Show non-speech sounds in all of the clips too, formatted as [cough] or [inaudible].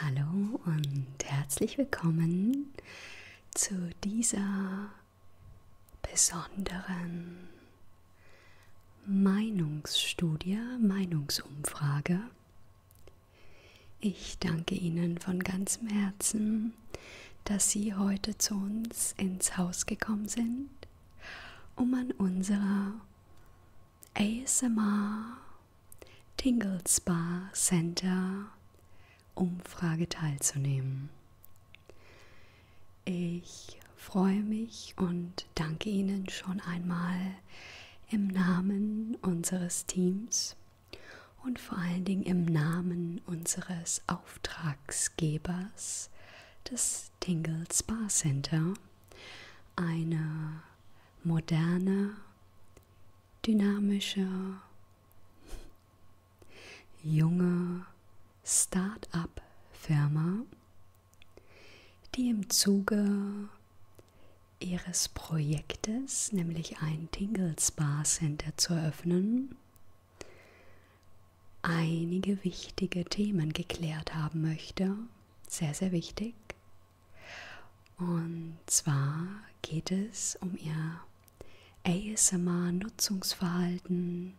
Hallo und herzlich willkommen zu dieser besonderen Meinungsstudie, Meinungsumfrage. Ich danke Ihnen von ganzem Herzen, dass Sie heute zu uns ins Haus gekommen sind, um an unserer ASMR, Tingle Spa Center, Umfrage teilzunehmen. Ich freue mich und danke Ihnen schon einmal im Namen unseres Teams und vor allen Dingen im Namen unseres Auftragsgebers, des Tingle Spa Center eine moderne, dynamische, junge Start-up-Firma, die im Zuge ihres Projektes, nämlich ein Tingle Spa Center zu eröffnen, einige wichtige Themen geklärt haben möchte. Sehr, sehr wichtig. Und zwar geht es um ihr ASMR-Nutzungsverhalten,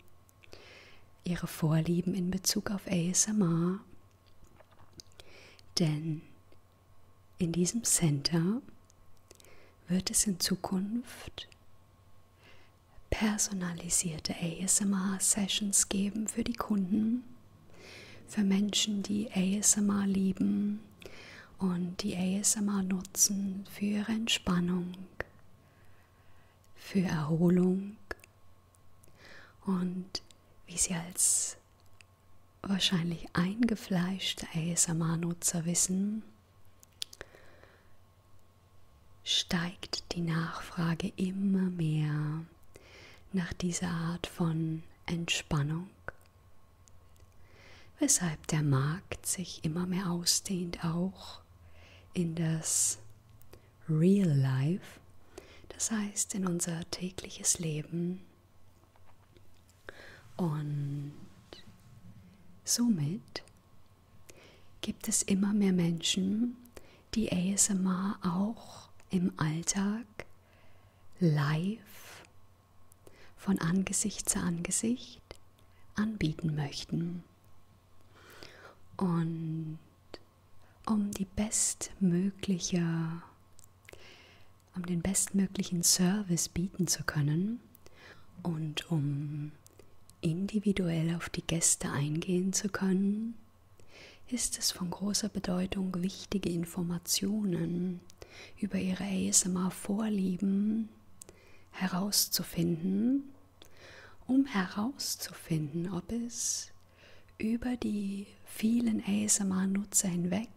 ihre Vorlieben in Bezug auf ASMR. Denn in diesem Center wird es in Zukunft personalisierte ASMR-Sessions geben für die Kunden, für Menschen, die ASMR lieben und die ASMR nutzen für ihre Entspannung, für Erholung und wie sie als wahrscheinlich eingefleischte ASMR-Nutzer wissen, steigt die Nachfrage immer mehr nach dieser Art von Entspannung, weshalb der Markt sich immer mehr ausdehnt, auch in das Real Life, das heißt in unser tägliches Leben. Und somit gibt es immer mehr Menschen, die ASMR auch im Alltag live von Angesicht zu Angesicht anbieten möchten. Und um die bestmögliche um den bestmöglichen Service bieten zu können und um Individuell auf die Gäste eingehen zu können, ist es von großer Bedeutung, wichtige Informationen über ihre ASMR-Vorlieben herauszufinden, um herauszufinden, ob es über die vielen ASMR-Nutzer hinweg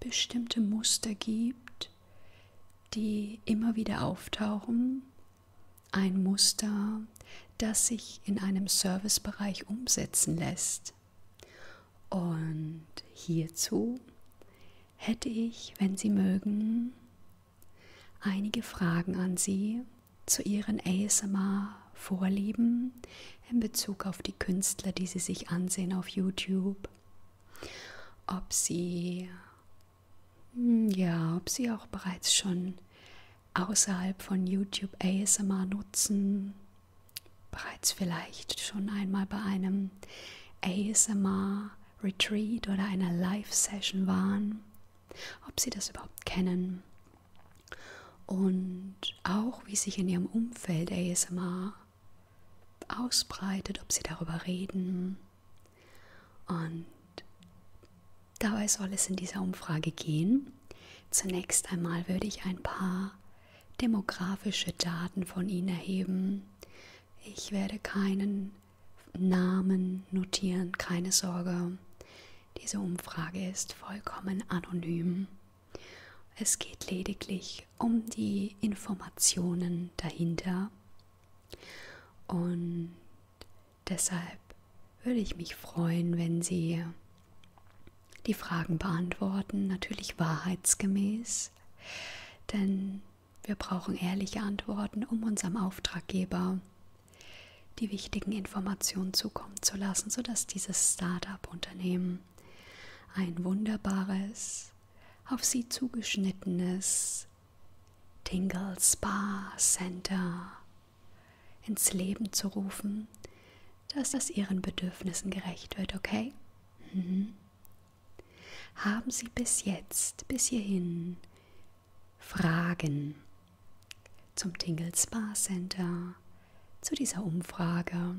bestimmte Muster gibt, die immer wieder auftauchen ein Muster, das sich in einem Servicebereich umsetzen lässt. Und hierzu hätte ich, wenn Sie mögen, einige Fragen an Sie zu Ihren ASMR-Vorlieben in Bezug auf die Künstler, die Sie sich ansehen auf YouTube, ob Sie hm, ja, ob sie auch bereits schon außerhalb von YouTube ASMR nutzen, bereits vielleicht schon einmal bei einem ASMR Retreat oder einer Live-Session waren, ob sie das überhaupt kennen und auch wie sich in ihrem Umfeld ASMR ausbreitet, ob sie darüber reden, und dabei soll es in dieser Umfrage gehen. Zunächst einmal würde ich ein paar demografische Daten von Ihnen erheben. Ich werde keinen Namen notieren, keine Sorge. Diese Umfrage ist vollkommen anonym. Es geht lediglich um die Informationen dahinter. Und Deshalb würde ich mich freuen, wenn Sie die Fragen beantworten, natürlich wahrheitsgemäß, denn wir brauchen ehrliche Antworten, um unserem Auftraggeber die wichtigen Informationen zukommen zu lassen, sodass dieses Start-up-Unternehmen ein wunderbares, auf Sie zugeschnittenes, Tingle Spa Center ins Leben zu rufen, dass das ihren Bedürfnissen gerecht wird, okay? Mhm. Haben Sie bis jetzt, bis hierhin, Fragen zum Tingle Spa Center, zu dieser Umfrage?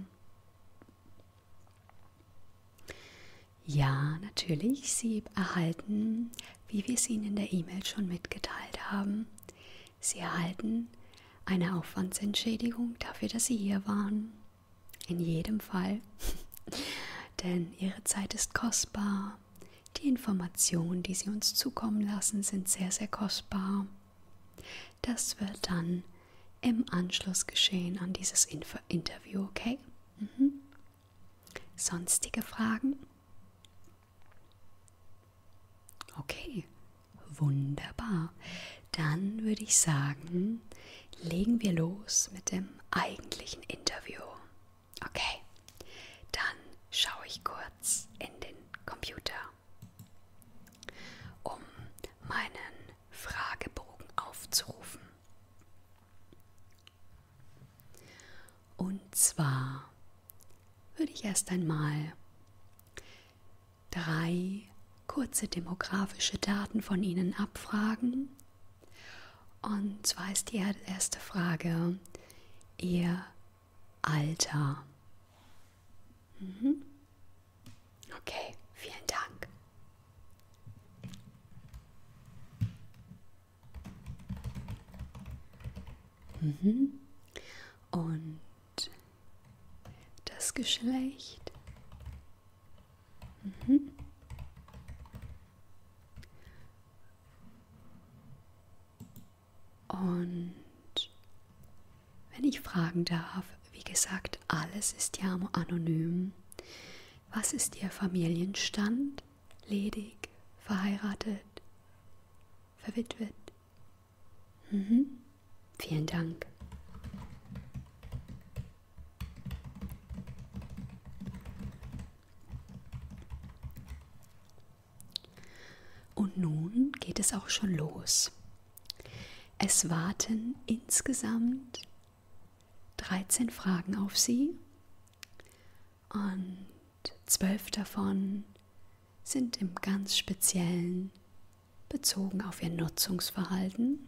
Ja, natürlich, Sie erhalten wie wir es Ihnen in der E-Mail schon mitgeteilt haben, Sie erhalten eine Aufwandsentschädigung dafür, dass Sie hier waren. In jedem Fall. [laughs] Denn Ihre Zeit ist kostbar. Die Informationen, die Sie uns zukommen lassen, sind sehr, sehr kostbar. Das wird dann im Anschluss geschehen an dieses Info Interview, okay? Mhm. Sonstige Fragen? Okay, wunderbar. Dann würde ich sagen, legen wir los mit dem eigentlichen Interview. Okay, dann schaue ich kurz in den Computer, um meinen Fragebogen aufzurufen. Und zwar würde ich erst einmal drei kurze demografische Daten von Ihnen abfragen. Und zwar ist die erste Frage Ihr Alter. Mhm. Okay, vielen Dank. Mhm. Und das Geschlecht. Mhm. Und wenn ich fragen darf, wie gesagt, alles ist ja anonym. Was ist Ihr Familienstand? ledig, verheiratet, verwitwet. Mhm. Vielen Dank. Und nun geht es auch schon los. Es warten insgesamt 13 Fragen auf Sie und zwölf davon sind im ganz speziellen bezogen auf ihr Nutzungsverhalten,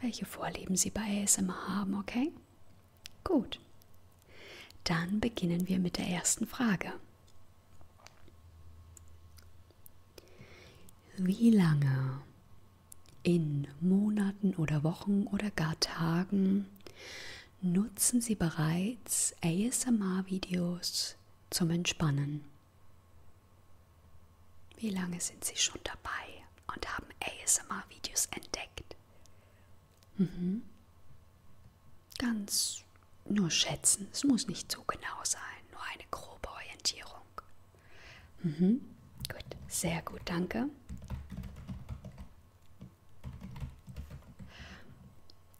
welche Vorlieben sie bei ASMR haben, okay? Gut. Dann beginnen wir mit der ersten Frage. Wie lange in Monaten oder Wochen oder gar Tagen nutzen Sie bereits ASMR-Videos zum Entspannen. Wie lange sind Sie schon dabei und haben ASMR-Videos entdeckt? Mhm. Ganz nur schätzen, es muss nicht so genau sein, nur eine grobe Orientierung. Mhm. Gut, sehr gut, danke.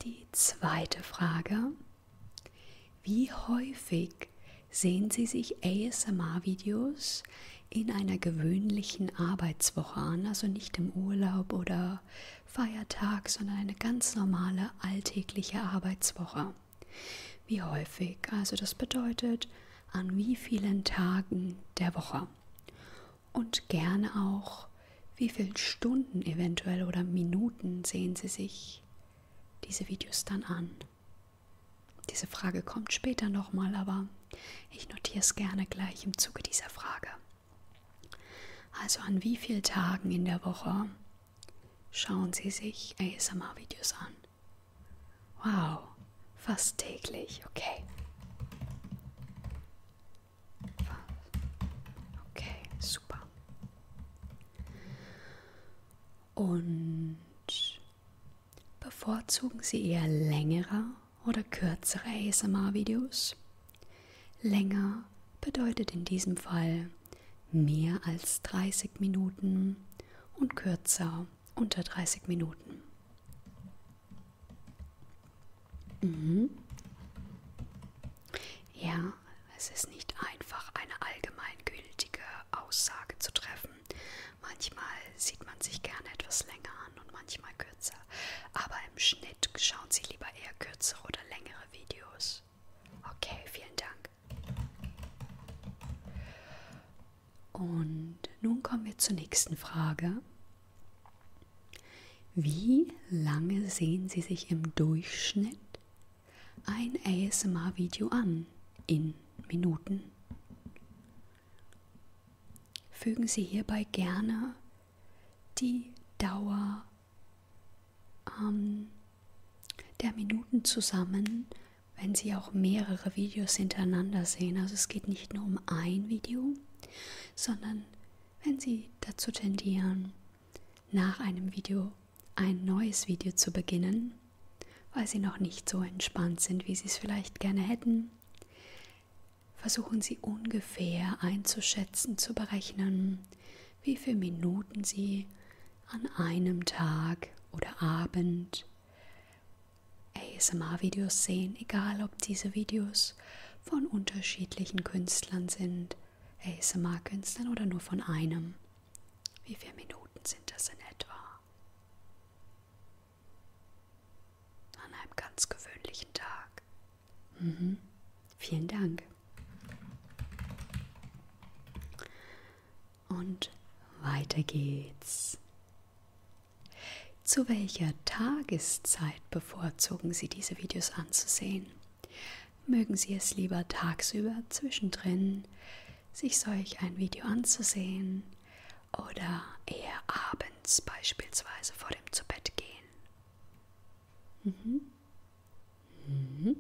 Die zweite Frage. Wie häufig sehen Sie sich ASMR-Videos in einer gewöhnlichen Arbeitswoche an? Also nicht im Urlaub oder Feiertag, sondern eine ganz normale alltägliche Arbeitswoche. Wie häufig? Also das bedeutet an wie vielen Tagen der Woche und gerne auch, wie viele Stunden eventuell oder Minuten sehen Sie sich diese Videos dann an. Diese Frage kommt später nochmal, aber ich notiere es gerne gleich im Zuge dieser Frage. Also an wie vielen Tagen in der Woche schauen Sie sich ASMR-Videos an? Wow, Fast täglich, okay. Okay, super. Und bevorzugen Sie eher längere oder kürzere ASMR-Videos? Länger bedeutet in diesem Fall mehr als 30 Minuten und kürzer unter 30 Minuten. Mhm. Ja, es ist nicht einfach, eine allgemeingültige Aussage zu treffen. Manchmal sieht man sich gerne etwas länger an und manchmal kürzer. Aber im Schnitt schauen Sie lieber eher kürzere oder längere Videos. Okay, vielen Dank. Und nun kommen wir zur nächsten Frage. Wie lange sehen Sie sich im Durchschnitt ein ASMR-Video an in Minuten? Fügen Sie hierbei gerne die Dauer ähm, der Minuten zusammen, wenn Sie auch mehrere Videos hintereinander sehen. Also es geht nicht nur um ein Video, sondern wenn Sie dazu tendieren, nach einem Video ein neues Video zu beginnen, weil Sie noch nicht so entspannt sind, wie Sie es vielleicht gerne hätten, versuchen Sie ungefähr einzuschätzen, zu berechnen, wie viele Minuten Sie an einem Tag oder Abend ASMR-Videos sehen, egal ob diese Videos von unterschiedlichen Künstlern sind, ASMR-Künstlern oder nur von einem. Wie viele Minuten sind das in etwa? An einem ganz gewöhnlichen Tag. Mhm. Vielen Dank. Und weiter geht's. Zu welcher Tageszeit bevorzugen Sie diese Videos anzusehen? Mögen Sie es lieber tagsüber zwischendrin, sich solch ein Video anzusehen oder eher abends beispielsweise vor dem Zubettgehen? Mhm. Mhm.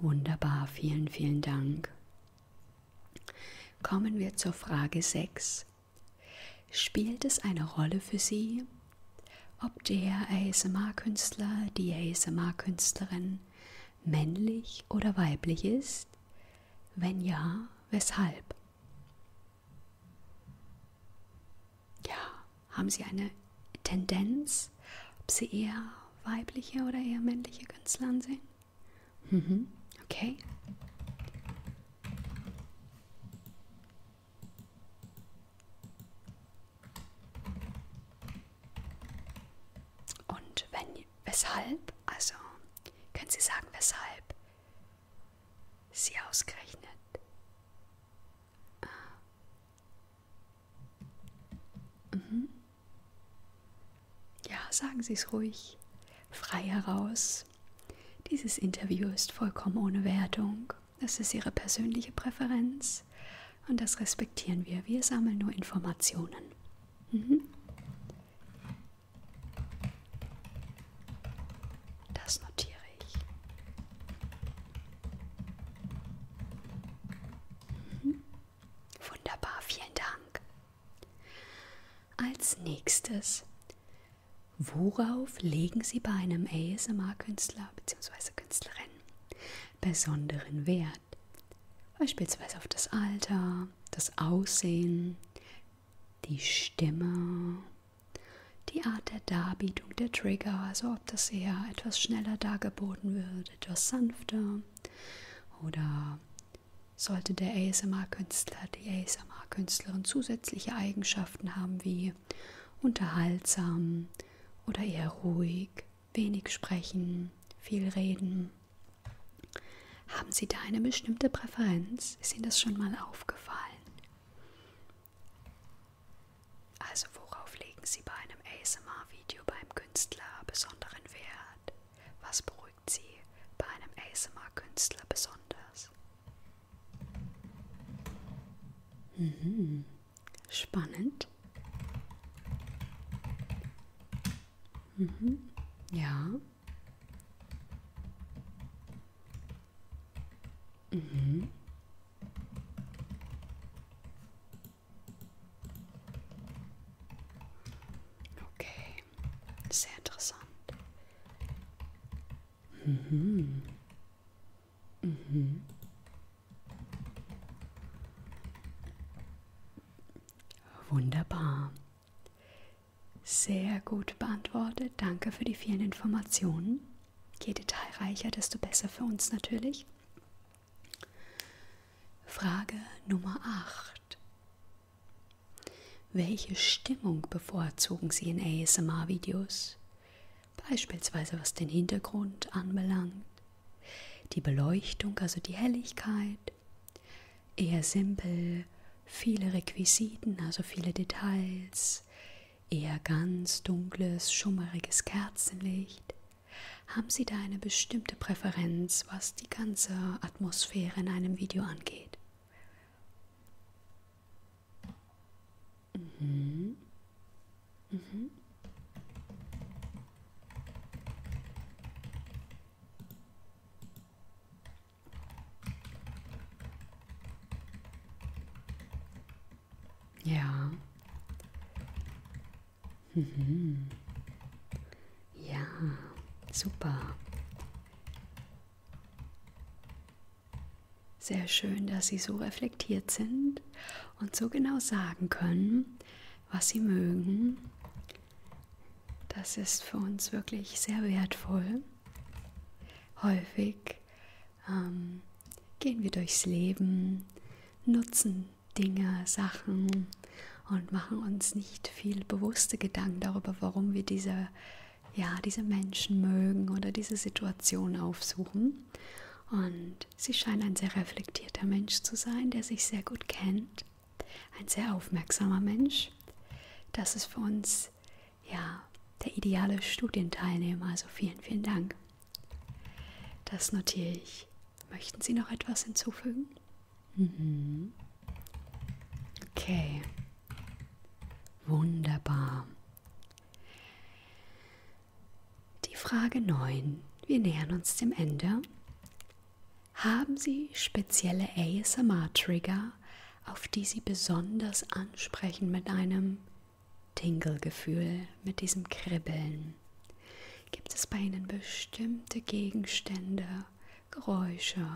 Wunderbar, vielen, vielen Dank. Kommen wir zur Frage 6. Spielt es eine Rolle für Sie, ob der ASMR-Künstler, die ASMR-Künstlerin männlich oder weiblich ist? Wenn ja, weshalb? Ja, haben Sie eine Tendenz, ob Sie eher weibliche oder eher männliche Künstler ansehen? Mhm. Okay. Und wenn, weshalb? Also, können Sie sagen, weshalb Sie ausgerechnet Mhm. Ja, sagen Sie es ruhig, frei heraus. Dieses Interview ist vollkommen ohne Wertung. Das ist Ihre persönliche Präferenz und das respektieren wir. Wir sammeln nur Informationen. Mhm. Das notiere Mhm. Wunderbar, vielen Dank. Als nächstes, worauf legen Sie bei einem ASMR-Künstler bzw. Künstlerin besonderen Wert? Beispielsweise auf das Alter, das Aussehen, die Stimme, die Art der Darbietung der Trigger, also ob das eher etwas schneller dargeboten wird, etwas sanfter oder sollte der ASMR-Künstler, die ASMR-Künstlerin zusätzliche Eigenschaften haben wie unterhaltsam oder eher ruhig, wenig sprechen, viel reden. Haben Sie da eine bestimmte Präferenz? Ist Ihnen das schon mal aufgefallen? Also worauf legen Sie bei einem ASMR-Video beim Künstler besonderen Wert? Was beruhigt Sie bei einem ASMR-Künstler besonders? Mhm. Spannend. Mhm. Ja. Mhm. Okay, sehr interessant. Mhm. Mhm. Wunderbar. Sehr gut beantwortet. Danke für die vielen Informationen. Je detailreicher, desto besser für uns natürlich. Frage Nummer 8. Welche Stimmung bevorzugen Sie in ASMR-Videos? Beispielsweise was den Hintergrund anbelangt, die Beleuchtung, also die Helligkeit, eher simpel, viele Requisiten, also viele Details, eher ganz dunkles, schummeriges Kerzenlicht? Haben Sie da eine bestimmte Präferenz, was die ganze Atmosphäre in einem Video angeht? Mhm. Mhm. Ja. Mhm. Ja, super. Sehr schön, dass Sie so reflektiert sind und so genau sagen können, was Sie mögen. Das ist für uns wirklich sehr wertvoll. Häufig ähm, gehen wir durchs Leben, nutzen Dinge, Sachen und machen uns nicht viel bewusste Gedanken darüber, warum wir diese, ja, diese Menschen mögen oder diese Situation aufsuchen. Und sie scheint ein sehr reflektierter Mensch zu sein, der sich sehr gut kennt, ein sehr aufmerksamer Mensch. Das ist für uns ja, der ideale Studienteilnehmer. Also vielen, vielen Dank. Das notiere ich. Möchten Sie noch etwas hinzufügen? Mhm. Okay. Wunderbar. Die Frage 9. Wir nähern uns dem Ende. Haben Sie spezielle ASMR-Trigger, auf die sie besonders ansprechen mit einem Tingle-Gefühl, mit diesem Kribbeln. Gibt es bei Ihnen bestimmte Gegenstände, Geräusche,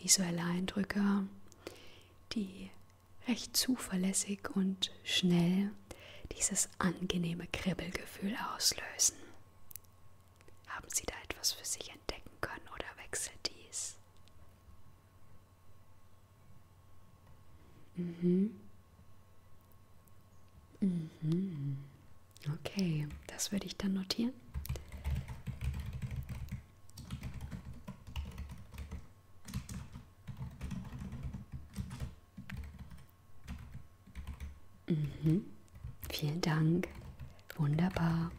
visuelle Eindrücke, die recht zuverlässig und schnell dieses angenehme Kribbelgefühl auslösen? Haben Sie da etwas für sich entdecken können oder wechselt dies? Mhm. Mhm. Okay, das würde ich dann notieren. Mhm. Vielen Dank. Wunderbar.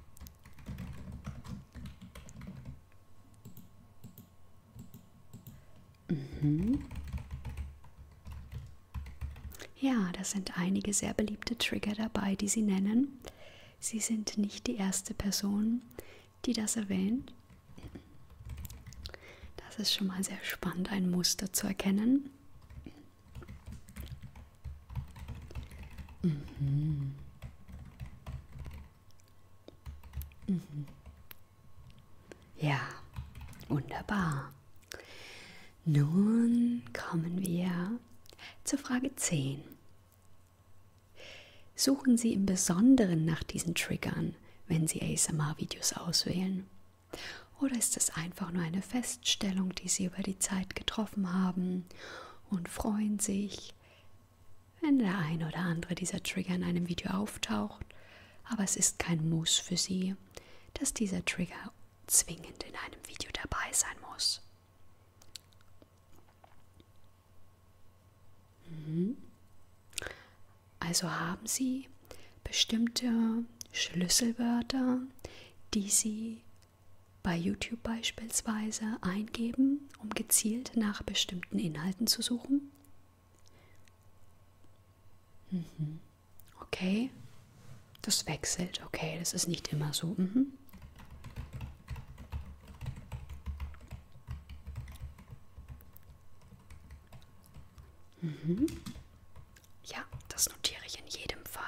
Mhm. Ja, da sind einige sehr beliebte Trigger dabei, die Sie nennen. Sie sind nicht die erste Person, die das erwähnt. Das ist schon mal sehr spannend, ein Muster zu erkennen. Mhm. Mhm. Ja, wunderbar. Nun kommen wir zur Frage 10. Suchen Sie im Besonderen nach diesen Triggern, wenn Sie ASMR-Videos auswählen. Oder ist es einfach nur eine Feststellung, die Sie über die Zeit getroffen haben und freuen sich, wenn der ein oder andere dieser Trigger in einem Video auftaucht, aber es ist kein Muss für Sie, dass dieser Trigger zwingend in einem Video dabei sein muss. Mhm. Also haben Sie bestimmte Schlüsselwörter, die Sie bei YouTube beispielsweise eingeben, um gezielt nach bestimmten Inhalten zu suchen? Mhm. Okay, das wechselt. Okay, das ist nicht immer so. Mhm. Mhm. Ja, das notiere ich in jedem Fall.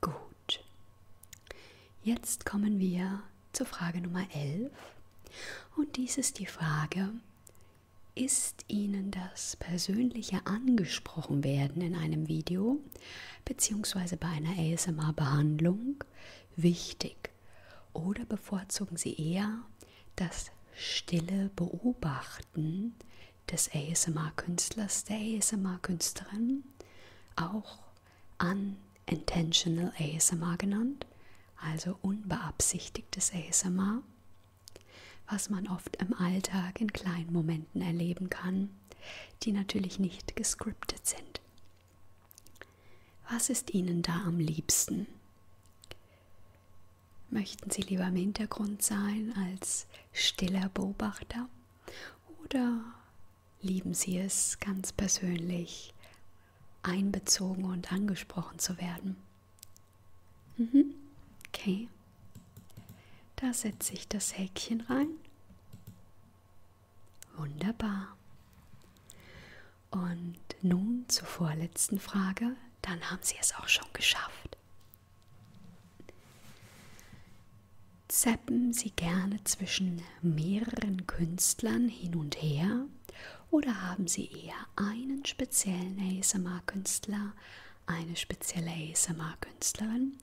Gut. Jetzt kommen wir zur Frage Nummer 11. Und dies ist die Frage, ist Ihnen das persönliche Angesprochenwerden in einem Video bzw. bei einer ASMR-Behandlung wichtig? Oder bevorzugen Sie eher das stille Beobachten des ASMR-Künstlers, der ASMR-Künstlerin, auch Unintentional ASMR genannt, also unbeabsichtigtes ASMR, was man oft im Alltag in kleinen Momenten erleben kann, die natürlich nicht gescriptet sind. Was ist Ihnen da am liebsten? Möchten Sie lieber im Hintergrund sein als stiller Beobachter oder lieben Sie es ganz persönlich einbezogen und angesprochen zu werden. Mhm. Okay. Da setze ich das Häkchen rein. Wunderbar. Und nun zur vorletzten Frage, dann haben Sie es auch schon geschafft. Zappen Sie gerne zwischen mehreren Künstlern hin und her oder haben Sie eher einen speziellen ASMR-Künstler, eine spezielle ASMR-Künstlerin,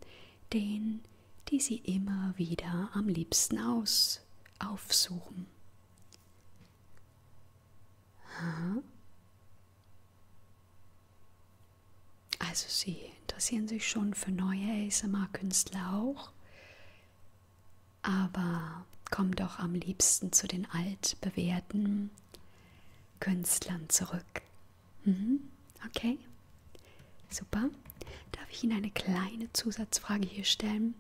den, die Sie immer wieder am liebsten aus, aufsuchen? Also Sie interessieren sich schon für neue ASMR-Künstler auch? aber komm doch am liebsten zu den altbewährten Künstlern zurück. Mhm. Okay, super. Darf ich Ihnen eine kleine Zusatzfrage hier stellen?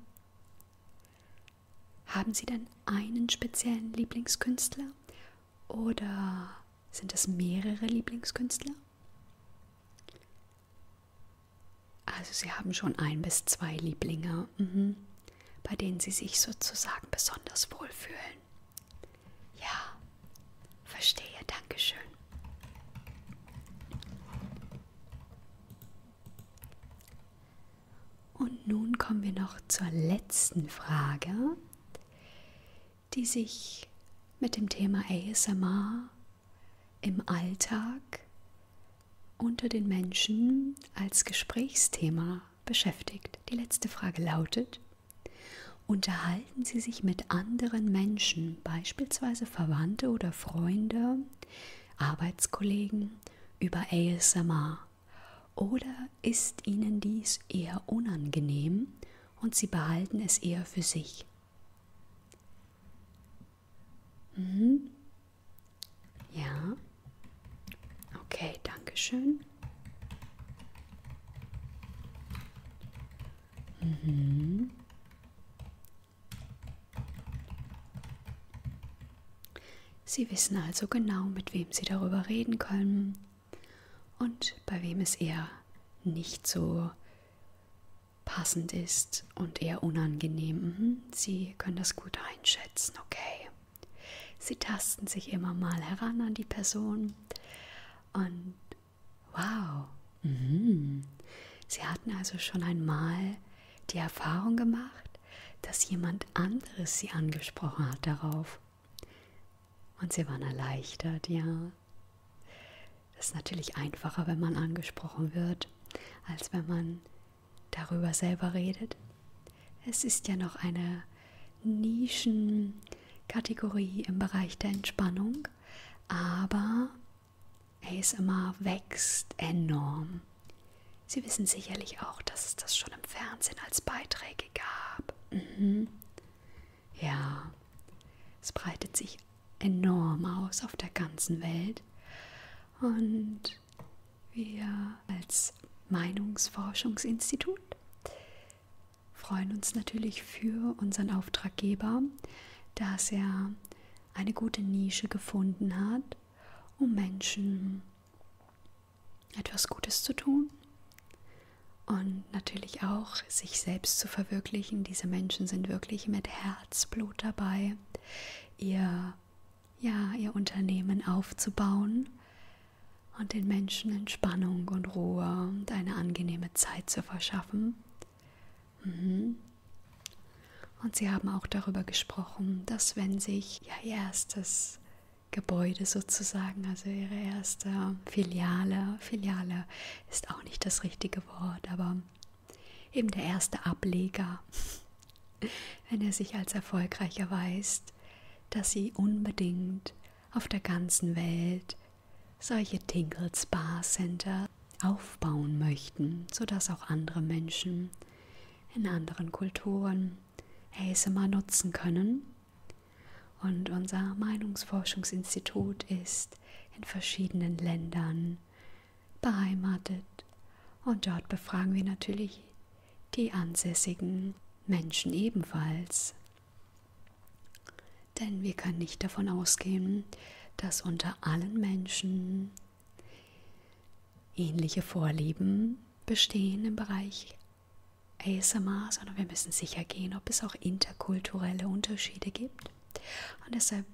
Haben Sie denn einen speziellen Lieblingskünstler oder sind es mehrere Lieblingskünstler? Also sie haben schon ein bis zwei Lieblinge, mhm. bei denen sie sich sozusagen besonders wohlfühlen. Ja, verstehe, Dankeschön. Und nun kommen wir noch zur letzten Frage, die sich mit dem Thema ASMR im Alltag unter den Menschen als Gesprächsthema beschäftigt. Die letzte Frage lautet, unterhalten Sie sich mit anderen Menschen, beispielsweise Verwandte oder Freunde, Arbeitskollegen, über ASMR? Oder ist Ihnen dies eher unangenehm und Sie behalten es eher für sich? Mhm. Ja. Okay, danke schön. Mhm. Sie wissen also genau, mit wem Sie darüber reden können und bei wem es eher nicht so passend ist und eher unangenehm. Mhm, Sie können das gut einschätzen, okay. Sie tasten sich immer mal heran an die Person und wow, mhm. Sie hatten also schon einmal die Erfahrung gemacht, dass jemand anderes Sie angesprochen hat darauf. Und Sie waren erleichtert, ja. Es ist natürlich einfacher, wenn man angesprochen wird, als wenn man darüber selber redet. Es ist ja noch eine Nischenkategorie im Bereich der Entspannung, aber ASMR wächst enorm. Sie wissen sicherlich auch, dass es das schon im Fernsehen als Beiträge gab. Mhm. Ja, es breitet sich enorm aus auf der ganzen Welt. Und wir als Meinungsforschungsinstitut freuen uns natürlich für unseren Auftraggeber, dass er eine gute Nische gefunden hat, um Menschen etwas Gutes zu tun und natürlich auch sich selbst zu verwirklichen. Diese Menschen sind wirklich mit Herzblut dabei dabei, ihr, ja, ihr Unternehmen aufzubauen und den Menschen Entspannung und Ruhe und eine angenehme Zeit zu verschaffen. Mhm. Und sie haben auch darüber gesprochen, dass wenn sich ja, ihr erstes Gebäude sozusagen, also ihre erste Filiale, Filiale ist auch nicht das richtige Wort, aber eben der erste Ableger, wenn er sich als erfolgreich erweist, dass sie unbedingt auf der ganzen Welt solche Tinkle Spa Center aufbauen möchten, sodass auch andere Menschen in anderen Kulturen ASMR nutzen können. Und unser Meinungsforschungsinstitut ist in verschiedenen Ländern beheimatet. Und dort befragen wir natürlich die ansässigen Menschen ebenfalls. Denn wir können nicht davon ausgehen, dass unter allen Menschen ähnliche Vorlieben bestehen im Bereich ASMR, sondern wir müssen sicher gehen, ob es auch interkulturelle Unterschiede gibt. Und deshalb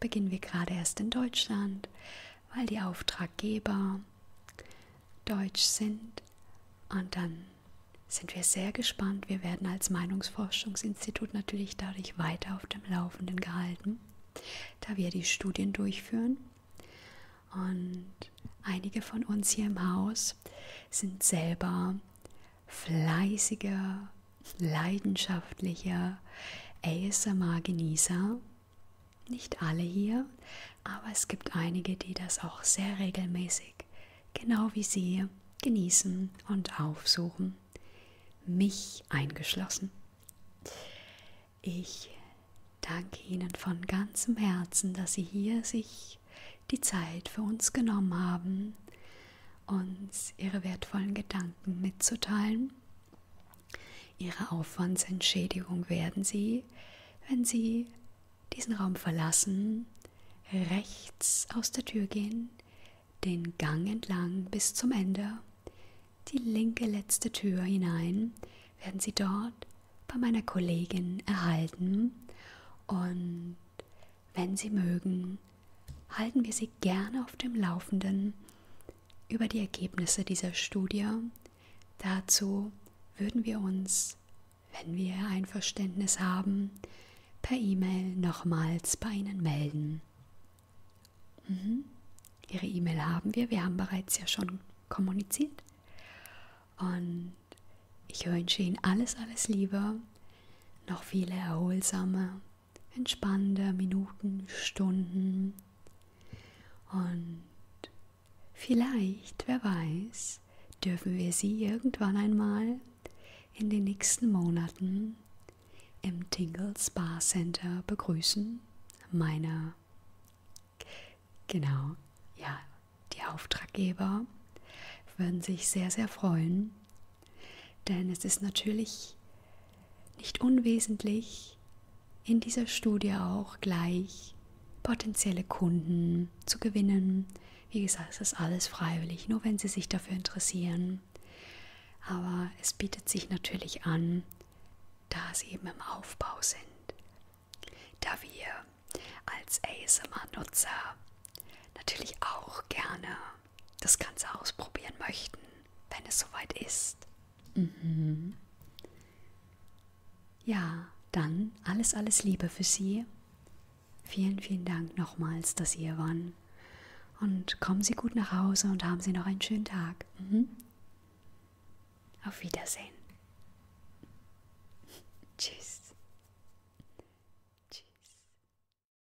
beginnen wir gerade erst in Deutschland, weil die Auftraggeber deutsch sind. Und dann sind wir sehr gespannt. Wir werden als Meinungsforschungsinstitut natürlich dadurch weiter auf dem Laufenden gehalten, da wir die Studien durchführen. Und einige von uns hier im Haus sind selber fleißiger, leidenschaftlicher ASMR-Genießer. Nicht alle hier, aber es gibt einige, die das auch sehr regelmäßig, genau wie Sie, genießen und aufsuchen. Mich eingeschlossen. Ich danke Ihnen von ganzem Herzen, dass Sie hier sich die Zeit für uns genommen haben uns ihre wertvollen Gedanken mitzuteilen. Ihre Aufwandsentschädigung werden Sie, wenn Sie diesen Raum verlassen, rechts aus der Tür gehen, den Gang entlang bis zum Ende, die linke letzte Tür hinein, werden Sie dort bei meiner Kollegin erhalten und wenn Sie mögen, halten wir Sie gerne auf dem Laufenden über die Ergebnisse dieser Studie. Dazu würden wir uns, wenn wir Einverständnis haben, per E-Mail nochmals bei Ihnen melden. Mhm. Ihre E-Mail haben wir, wir haben bereits ja schon kommuniziert. Und ich wünsche Ihnen alles, alles Liebe, noch viele erholsame entspannende Minuten, Stunden und vielleicht, wer weiß, dürfen wir sie irgendwann einmal in den nächsten Monaten im Tingle Spa Center begrüßen. Meine, genau, ja, die Auftraggeber würden sich sehr, sehr freuen, denn es ist natürlich nicht unwesentlich, in dieser Studie auch gleich potenzielle Kunden zu gewinnen. Wie gesagt, es ist alles freiwillig, nur wenn sie sich dafür interessieren. Aber es bietet sich natürlich an, da sie eben im Aufbau sind. Da wir als ASMR-Nutzer natürlich auch gerne das Ganze ausprobieren möchten, wenn es soweit ist. Mhm. Ja, dann alles, alles Liebe für Sie. Vielen, vielen Dank nochmals, dass Sie hier waren. Und kommen Sie gut nach Hause und haben Sie noch einen schönen Tag. Mhm. Auf Wiedersehen. [laughs] Tschüss.